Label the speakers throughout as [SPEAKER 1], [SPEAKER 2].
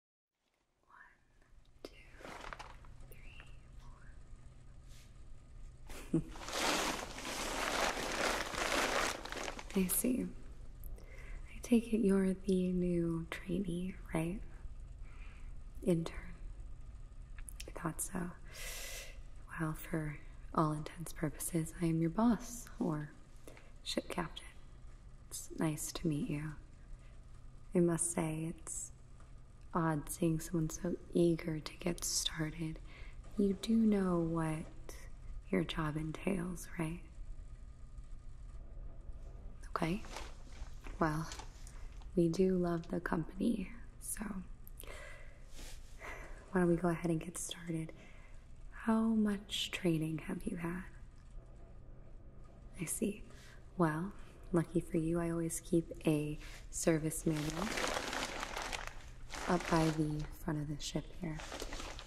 [SPEAKER 1] I see. I take it you're the new trainee, right? Intern. I thought so. Well, for all intents purposes, I am your boss or ship captain. It's nice to meet you. I must say, it's odd seeing someone so eager to get started. You do know what your job entails, right? Okay. Well, we do love the company, so why don't we go ahead and get started? How much training have you had? I see. Well, lucky for you, I always keep a service manual up by the front of the ship here.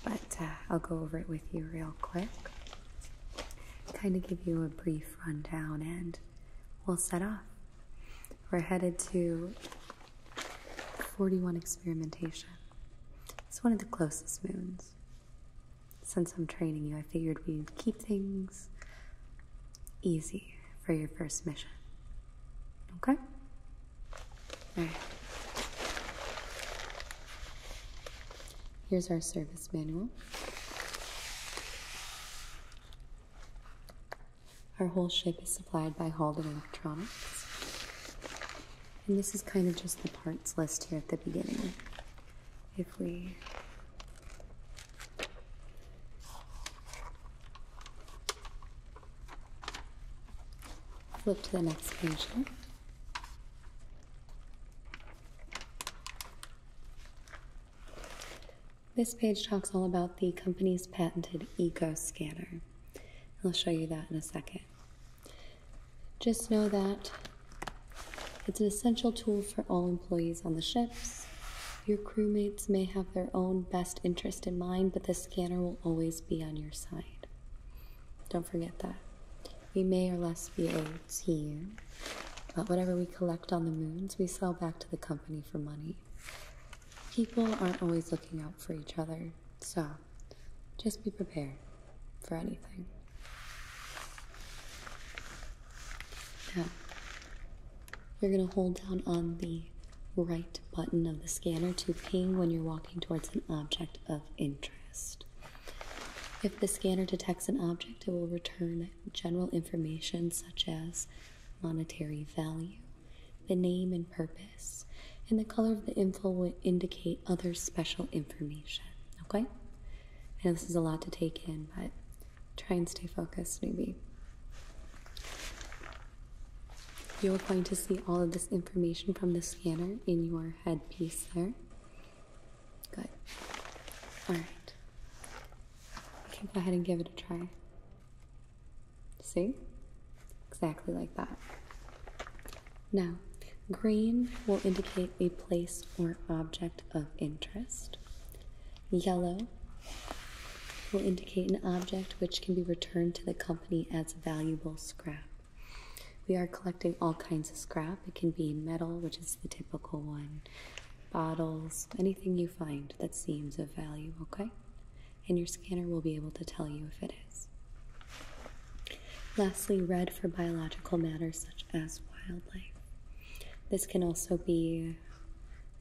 [SPEAKER 1] But uh, I'll go over it with you real quick. Kind of give you a brief rundown and we'll set off. We're headed to 41 Experimentation. It's one of the closest moons since I'm training you, I figured we'd keep things easy for your first mission. Okay? Here's our service manual. Our whole ship is supplied by Halden Electronics. And this is kind of just the parts list here at the beginning if we flip to the next page This page talks all about the company's patented eco scanner. I'll show you that in a second. Just know that it's an essential tool for all employees on the ships. Your crewmates may have their own best interest in mind, but the scanner will always be on your side. Don't forget that. We may or less be owed to but whatever we collect on the moons, we sell back to the company for money. People aren't always looking out for each other, so just be prepared for anything. Now, you're going to hold down on the right button of the scanner to ping when you're walking towards an object of interest. If the scanner detects an object, it will return general information such as monetary value, the name and purpose, and the color of the info indicate other special information. Okay? I know this is a lot to take in, but try and stay focused, maybe. You're going to see all of this information from the scanner in your headpiece there. Good. Alright. We can go ahead and give it a try. See? Exactly like that. Now, green will indicate a place or object of interest. Yellow will indicate an object which can be returned to the company as valuable scrap. We are collecting all kinds of scrap. It can be metal, which is the typical one, bottles, anything you find that seems of value, okay? And your scanner will be able to tell you if it Lastly, red for biological matters such as wildlife. This can also be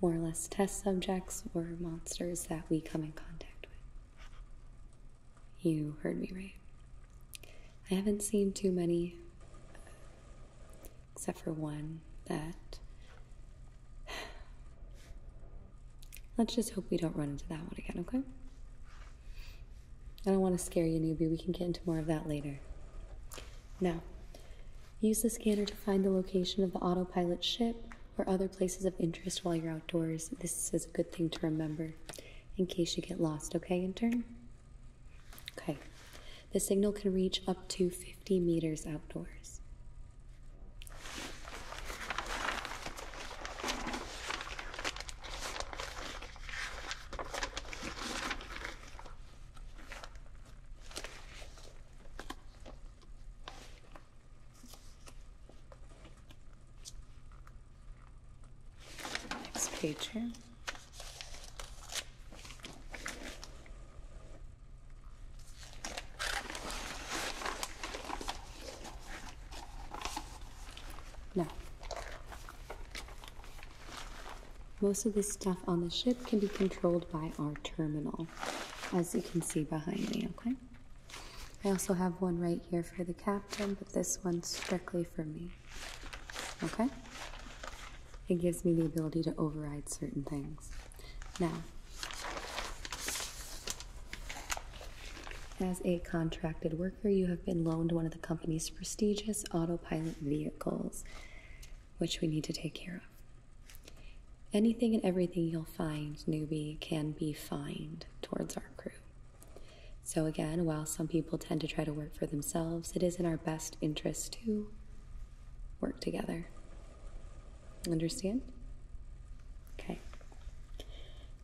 [SPEAKER 1] more or less test subjects or monsters that we come in contact with. You heard me right. I haven't seen too many, except for one that. Let's just hope we don't run into that one again, okay? I don't want to scare you, newbie. We can get into more of that later. Now, use the scanner to find the location of the autopilot ship or other places of interest while you're outdoors. This is a good thing to remember in case you get lost, okay, intern? Okay. The signal can reach up to 50 meters outdoors. Next page here. Now, most of the stuff on the ship can be controlled by our terminal, as you can see behind me, okay? I also have one right here for the captain, but this one's strictly for me, okay? It gives me the ability to override certain things. Now, as a contracted worker, you have been loaned one of the company's prestigious autopilot vehicles, which we need to take care of. Anything and everything you'll find, newbie, can be fined towards our crew. So, again, while some people tend to try to work for themselves, it is in our best interest to work together. Understand? Okay.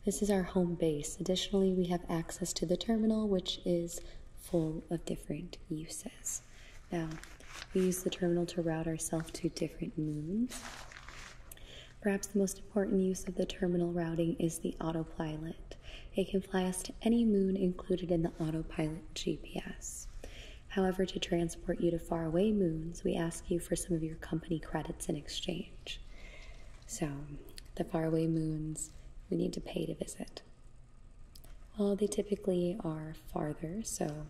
[SPEAKER 1] This is our home base. Additionally, we have access to the terminal, which is full of different uses. Now, we use the terminal to route ourselves to different moons. Perhaps the most important use of the terminal routing is the autopilot. It can fly us to any moon included in the autopilot GPS. However, to transport you to faraway moons, we ask you for some of your company credits in exchange. So, the faraway moons we need to pay to visit. Well, they typically are farther, so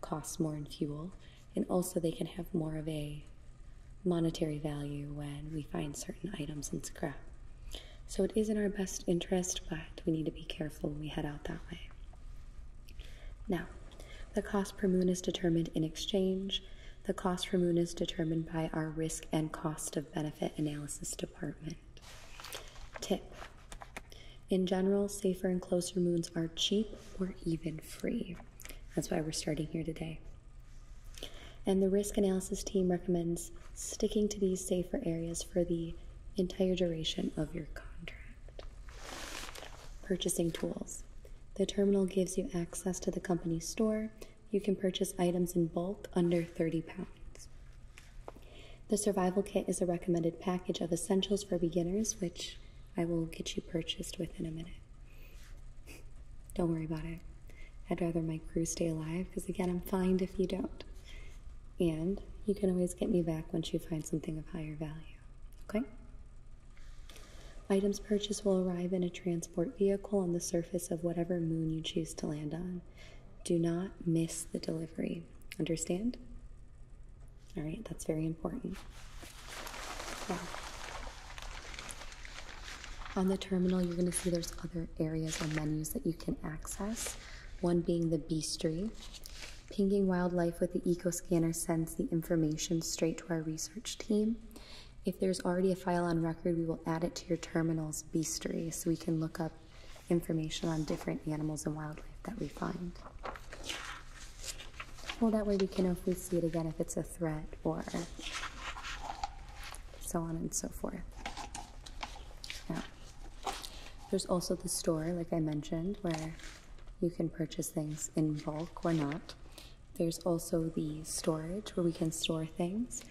[SPEAKER 1] cost more in fuel, and also they can have more of a monetary value when we find certain items in scrap. So it is in our best interest, but we need to be careful when we head out that way. Now, the cost per moon is determined in exchange the cost for moons determined by our risk and cost of benefit analysis department. Tip In general, safer and closer moons are cheap or even free. That's why we're starting here today. And the risk analysis team recommends sticking to these safer areas for the entire duration of your contract. Purchasing tools. The terminal gives you access to the company store, you can purchase items in bulk under 30 pounds. The survival kit is a recommended package of essentials for beginners, which I will get you purchased within a minute. Don't worry about it. I'd rather my crew stay alive because, again, I'm fined if you don't. And you can always get me back once you find something of higher value. Okay? Items purchased will arrive in a transport vehicle on the surface of whatever moon you choose to land on. Do not miss the delivery. Understand? All right, that's very important. Now, on the terminal, you're going to see there's other areas or menus that you can access, one being the Beastry. Pinging wildlife with the eco scanner sends the information straight to our research team. If there's already a file on record, we will add it to your terminal's bestiary so we can look up information on different animals and wildlife that we find. Well, that way we can hopefully see it again, if it's a threat or so on and so forth. Now, there's also the store, like I mentioned, where you can purchase things in bulk or not. There's also the storage where we can store things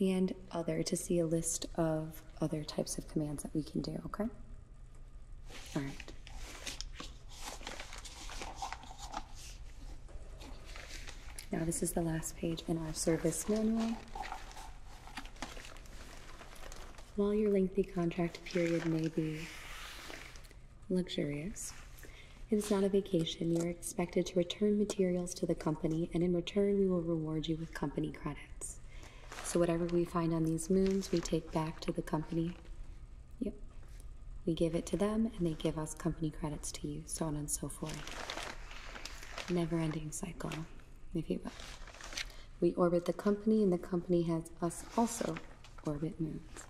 [SPEAKER 1] and other to see a list of other types of commands that we can do, okay? All right. Now this is the last page in our service manual. While your lengthy contract period may be luxurious. It is not a vacation. You are expected to return materials to the company, and in return, we will reward you with company credits. So, whatever we find on these moons, we take back to the company. Yep. We give it to them, and they give us company credits to you. so on and so forth. Never ending cycle, if you We orbit the company, and the company has us also orbit moons.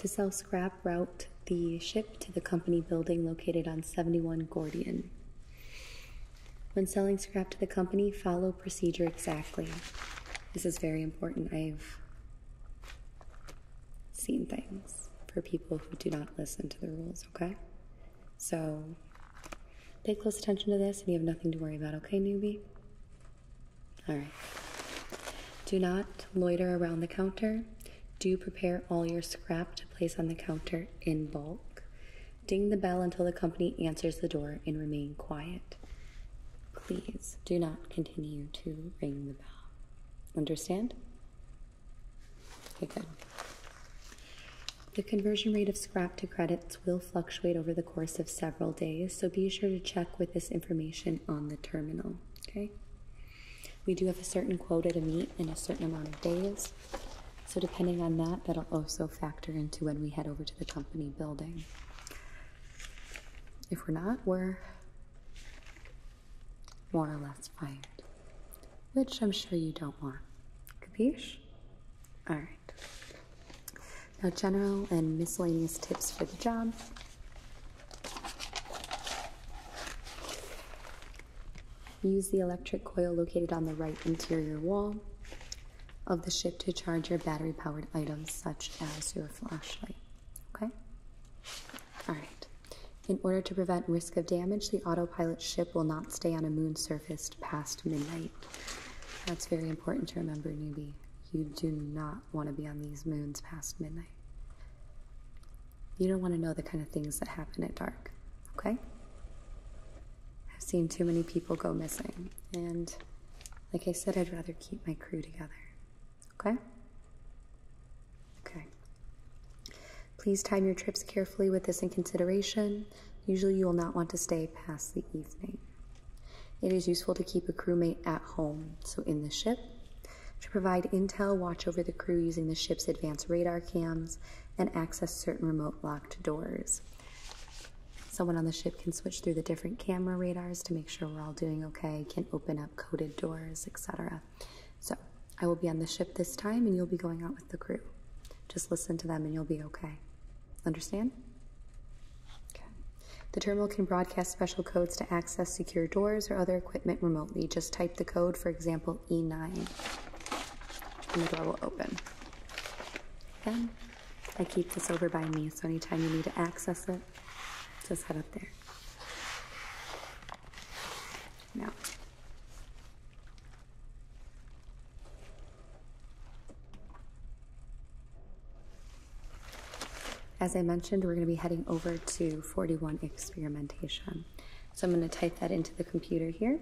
[SPEAKER 1] To sell scrap, route the ship to the company building located on 71 Gordian. When selling scrap to the company, follow procedure exactly. This is very important. I've seen things for people who do not listen to the rules, okay? So pay close attention to this and you have nothing to worry about, okay, newbie? All right. Do not loiter around the counter. Do prepare all your scrap to place on the counter in bulk. Ding the bell until the company answers the door and remain quiet. Please do not continue to ring the bell. Understand? Okay, good. The conversion rate of scrap to credits will fluctuate over the course of several days, so be sure to check with this information on the terminal. Okay, we do have a certain quota to meet in a certain amount of days, so depending on that, that'll also factor into when we head over to the company building. If we're not, we're more or less fired, which I'm sure you don't want. Capiche? All right. Now, general and miscellaneous tips for the job. Use the electric coil located on the right interior wall of the ship to charge your battery powered items, such as your flashlight. Okay? Alright. In order to prevent risk of damage, the autopilot ship will not stay on a moon surface past midnight. That's very important to remember, newbie you do not want to be on these moons past midnight. You don't want to know the kind of things that happen at dark, okay? I've seen too many people go missing, and like I said, I'd rather keep my crew together, okay? Okay. Please time your trips carefully with this in consideration. Usually, you will not want to stay past the evening. It is useful to keep a crewmate at home, so in the ship, to provide intel, watch over the crew using the ship's advanced radar cams, and access certain remote locked doors. Someone on the ship can switch through the different camera radars to make sure we're all doing okay, can open up coded doors, etc. So, I will be on the ship this time and you'll be going out with the crew. Just listen to them and you'll be okay. Understand? Okay. The terminal can broadcast special codes to access secure doors or other equipment remotely. Just type the code, for example, E9, and the door will open. Again, I keep this over by me, so anytime you need to access it, just head up there. Now, as I mentioned, we're going to be heading over to 41 experimentation. So I'm going to type that into the computer here.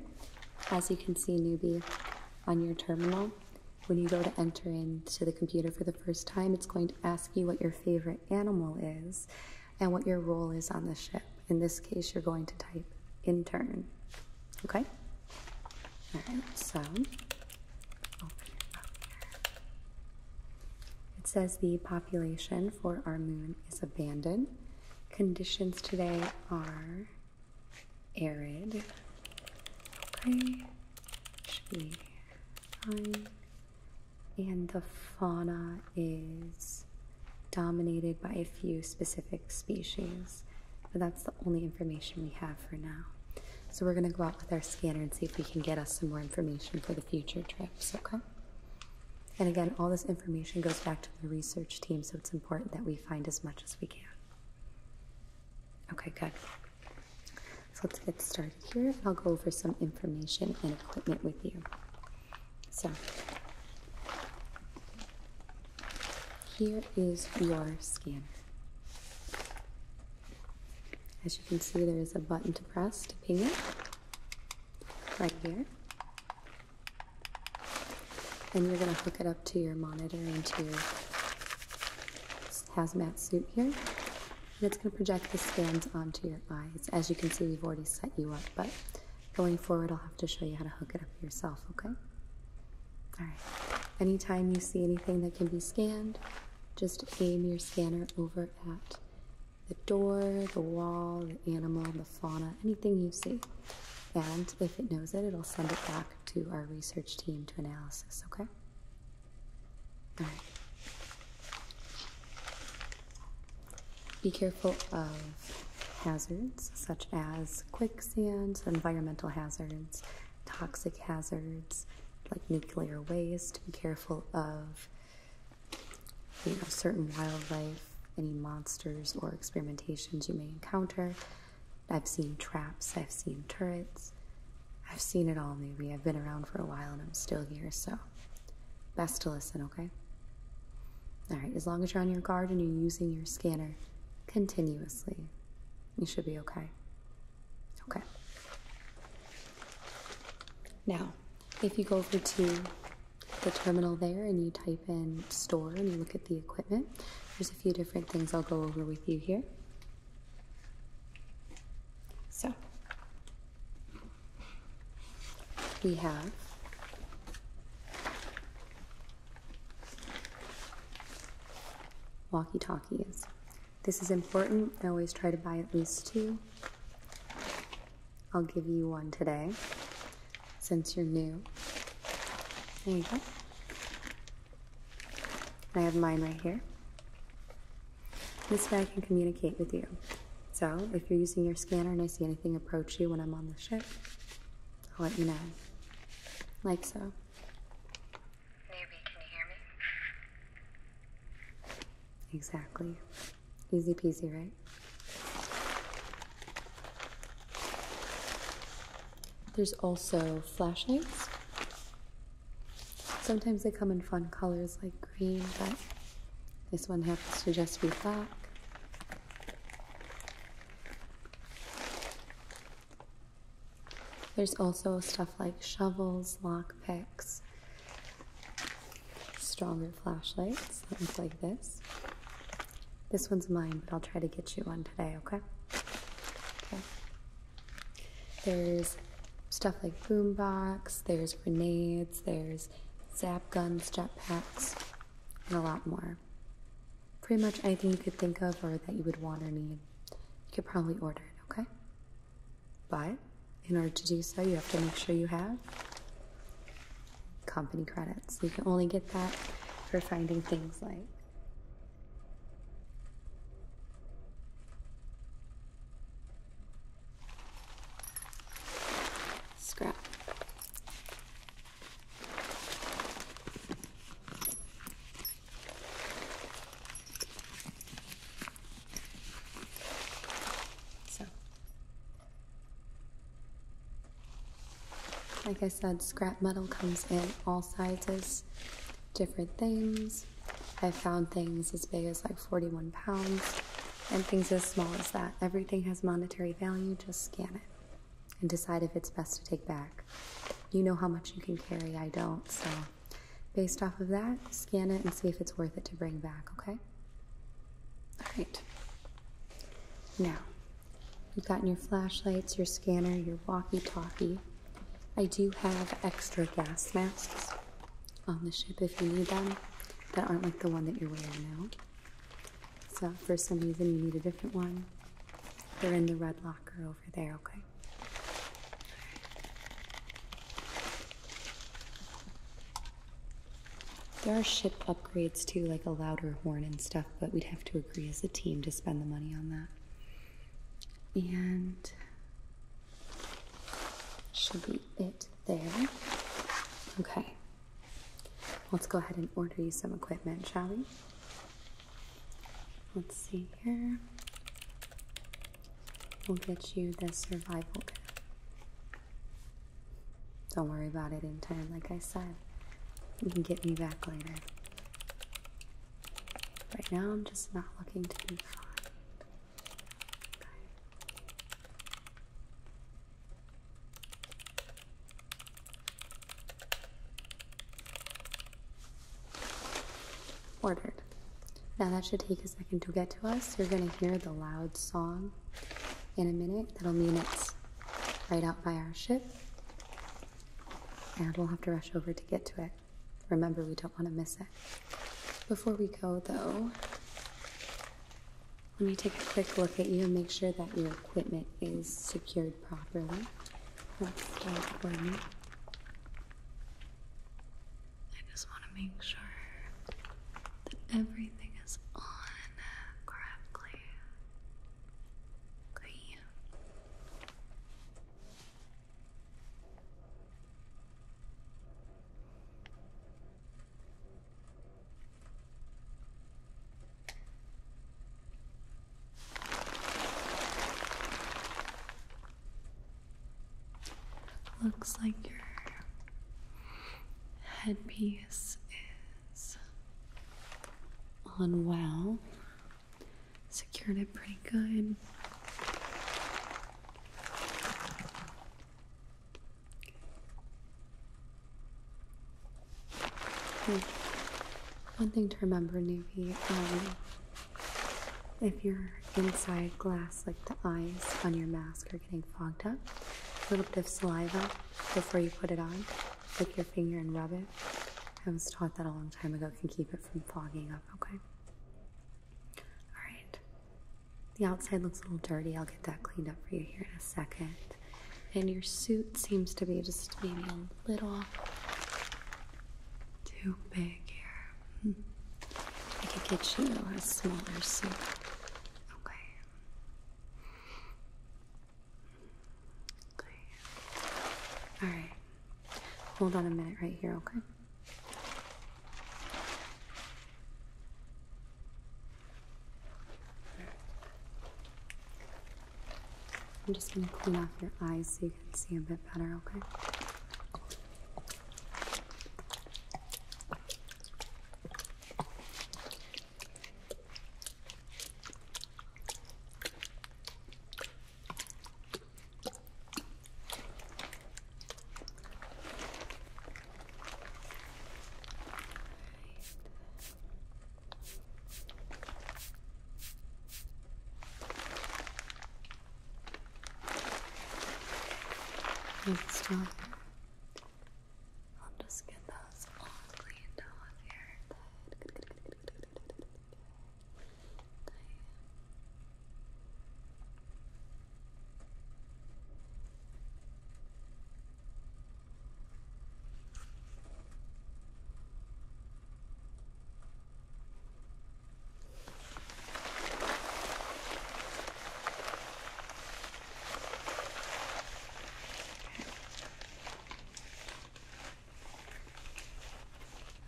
[SPEAKER 1] As you can see, newbie, on your terminal, when you go to enter into the computer for the first time, it's going to ask you what your favorite animal is and what your role is on the ship. In this case, you're going to type intern. Okay? All right, so it says the population for our moon is abandoned. Conditions today are arid. And the fauna is dominated by a few specific species. But that's the only information we have for now. So we're going to go out with our scanner and see if we can get us some more information for the future trips, okay? And again, all this information goes back to the research team, so it's important that we find as much as we can. Okay, good. So let's get started here, and I'll go over some information and equipment with you. So, here is your scanner. As you can see, there is a button to press to ping it right here. And you're going to hook it up to your monitor into your hazmat suit here. And it's going to project the scans onto your eyes. As you can see, we've already set you up, but going forward, I'll have to show you how to hook it up yourself, okay? Anytime you see anything that can be scanned, just aim your scanner over at the door, the wall, the animal, the fauna, anything you see. And if it knows it, it'll send it back to our research team to analysis, okay? All right. Be careful of hazards such as quicksand, environmental hazards, toxic hazards like nuclear waste, be careful of you know certain wildlife, any monsters or experimentations you may encounter. I've seen traps, I've seen turrets. I've seen it all, maybe. I've been around for a while and I'm still here, so best to listen, okay? Alright, as long as you're on your guard and you're using your scanner continuously. You should be okay. Okay. Now, if you go over to the terminal there and you type in store and you look at the equipment, there's a few different things I'll go over with you here. So, we have Walkie talkies. This is important. I always try to buy at least two. I'll give you one today since you're new. There you go. I have mine right here. This way I can communicate with you. So if you're using your scanner and I see anything approach you when I'm on the ship, I'll let you know. Like so can you hear me? Exactly. Easy peasy, right? There's also flashlights. Sometimes they come in fun colors like green, but this one happens to just be black. There's also stuff like shovels, lock picks, stronger flashlights things like this. This one's mine, but I'll try to get you one today, okay? Okay. There's stuff like boombox, there's grenades, there's zap guns, jetpacks, and a lot more, Pretty much anything you could think of or that you would want or need, you could probably order it, okay? But in order to do so, you have to make sure you have company credits. You can only get that for finding things like scrap. So, like I said, scrap metal comes in all sizes, different things. I have found things as big as like 41 pounds and things as small as that. Everything has monetary value, just scan it and decide if it's best to take back. You know how much you can carry, I don't, so based off of that, scan it and see if it's worth it to bring back, okay? Alright. Now, you've gotten your flashlights, your scanner, your walkie talkie. I do have extra gas masks on the ship if you need them that aren't like the one that you're wearing now. So, for some reason, you need a different one. They're in the red locker over there, okay? There are ship upgrades too, like a louder horn and stuff, but we'd have to agree as a team to spend the money on that. And should be it there. Okay. Let's go ahead and order you some equipment, shall we? Let's see here. We'll get you the survival kit. Don't worry about it in time, like I said. You can get me back later. Right now, I'm just not looking to be found. Ordered. Now that should take a second to get to us. You're gonna hear the loud song in a minute. That'll mean it's right out by our ship. And we'll have to rush over to get to it. Remember, we don't want to miss it. Before we go, though, let me take a quick look at you and make sure that your equipment is secured secured properly. Let's start burning.
[SPEAKER 2] I just want to make sure that everything is on correctly. Okay. Looks like your headpiece is on well. Secured it pretty good.
[SPEAKER 1] Hmm. one thing to remember, Navy, um, if you're inside glass, like the eyes on your mask, are getting fogged up, a little bit of saliva before you put it on, take your finger and rub it. I was taught that a long time ago can keep it from fogging up, okay? Alright. The outside looks a little dirty. I'll get that cleaned up for you here in a second and your suit seems to be just maybe a little too big here. I could get you a smaller suit. Okay. Okay. All right. Hold on a minute right here, okay? I'm just going to clean off your eyes so you can see a bit better, okay? Doesn't smell I'll just get those all cleaned off here.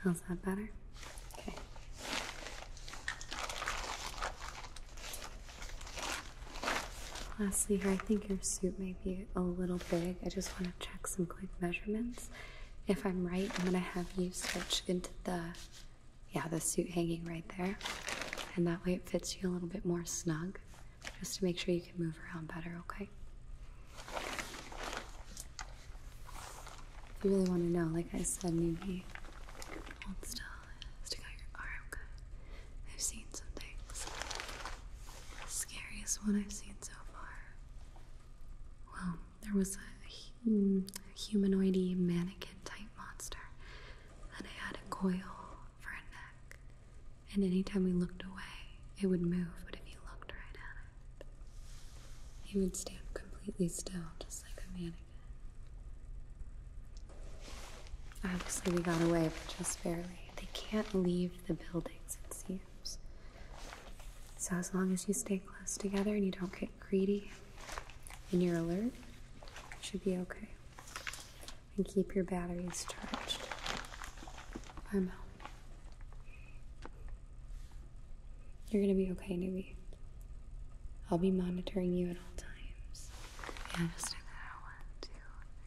[SPEAKER 1] How's that better? Okay. Lastly here, I think your suit may be a little big. I just want to check some quick measurements. If I'm right, I'm going to have you stretch into the, yeah, the suit hanging right there. And that way it fits you a little bit more snug, just to make sure you can move around better, okay? If you really want to know, like
[SPEAKER 2] I said, maybe hold still, stick out your arm, good. I've seen some things. The scariest one I've seen so far.
[SPEAKER 1] Well, there was a, a humanoidy mannequin type monster, and it had a coil for a neck. And anytime we looked away, it would move,
[SPEAKER 2] but if you looked right at
[SPEAKER 1] it, it would stand completely still, just like a mannequin. Obviously, we got away, but just barely. They can't leave the buildings, it seems. So, as long as you stay close together and you don't get greedy and you're alert, you should be okay. And keep your batteries charged. I'm out. You're gonna be okay, newbie. I'll be monitoring you at all times. Yeah, just do that. One, two, three.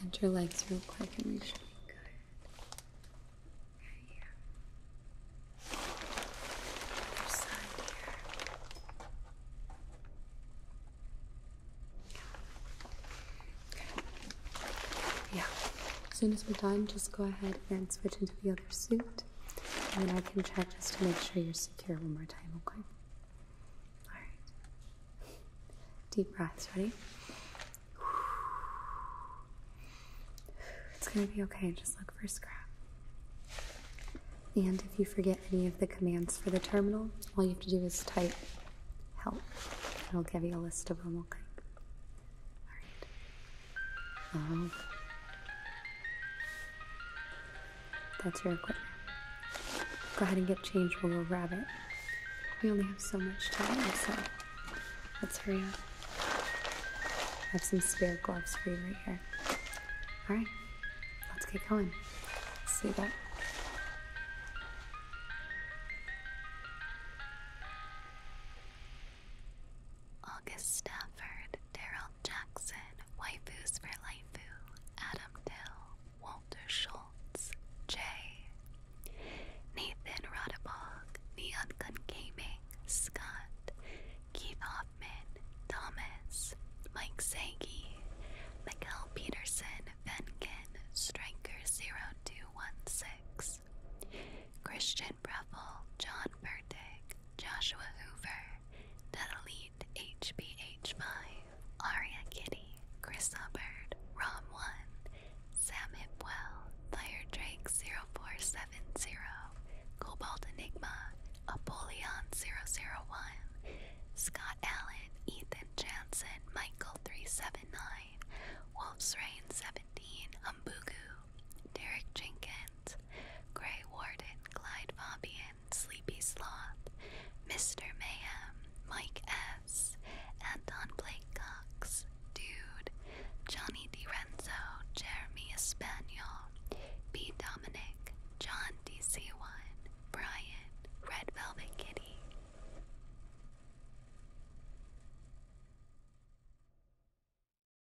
[SPEAKER 1] And your legs real quick and we should be Good. Right here. Other side here. Yeah. As soon as we're done, just go ahead and switch into the other suit. And then I can check just to make sure you're secure one more time, okay? Alright. Deep breaths, ready? It's gonna be okay, just look for a scrap. And if you forget any of the commands for the terminal, all you have to do is type help. It'll give you a list of them, okay? Alright. Oh, that's your equipment. Go ahead and get changed while we'll grab it. We only have so much time, so let's hurry up. I have some spare gloves for you right here. Alright, let's get going. See you do
[SPEAKER 2] August Stafford, Daryl Jackson, Waifus for Laifu, Adam Dill, Walter Schultz, Jay, Nathan Rodabog, Neon Gun Gaming, Scott, Keith Hoffman, Thomas, Mike Sagi, Michael Peterson, Venkin, Striker0216, Christian David Breville, John Burdick, Joshua Hoover, Delete hbh My, Aria Kitty, Chris Hubbard, Rom1, Sam Hipwell, Fire Drake 0470, Cobalt Enigma, Apollyon 001, Scott Allen, Ethan Jansen, Michael 379, Wolf's Rain 17, Gu, Derek Jenkins, Grey Warden, Clyde Fabian, Sleepy Sloth, Mr. Mayhem, Mike S., Anton Blake Cox, Dude, Johnny Renzo, Jeremy Espanol, B. Dominic, John DC1, Brian, Red Velvet Kitty.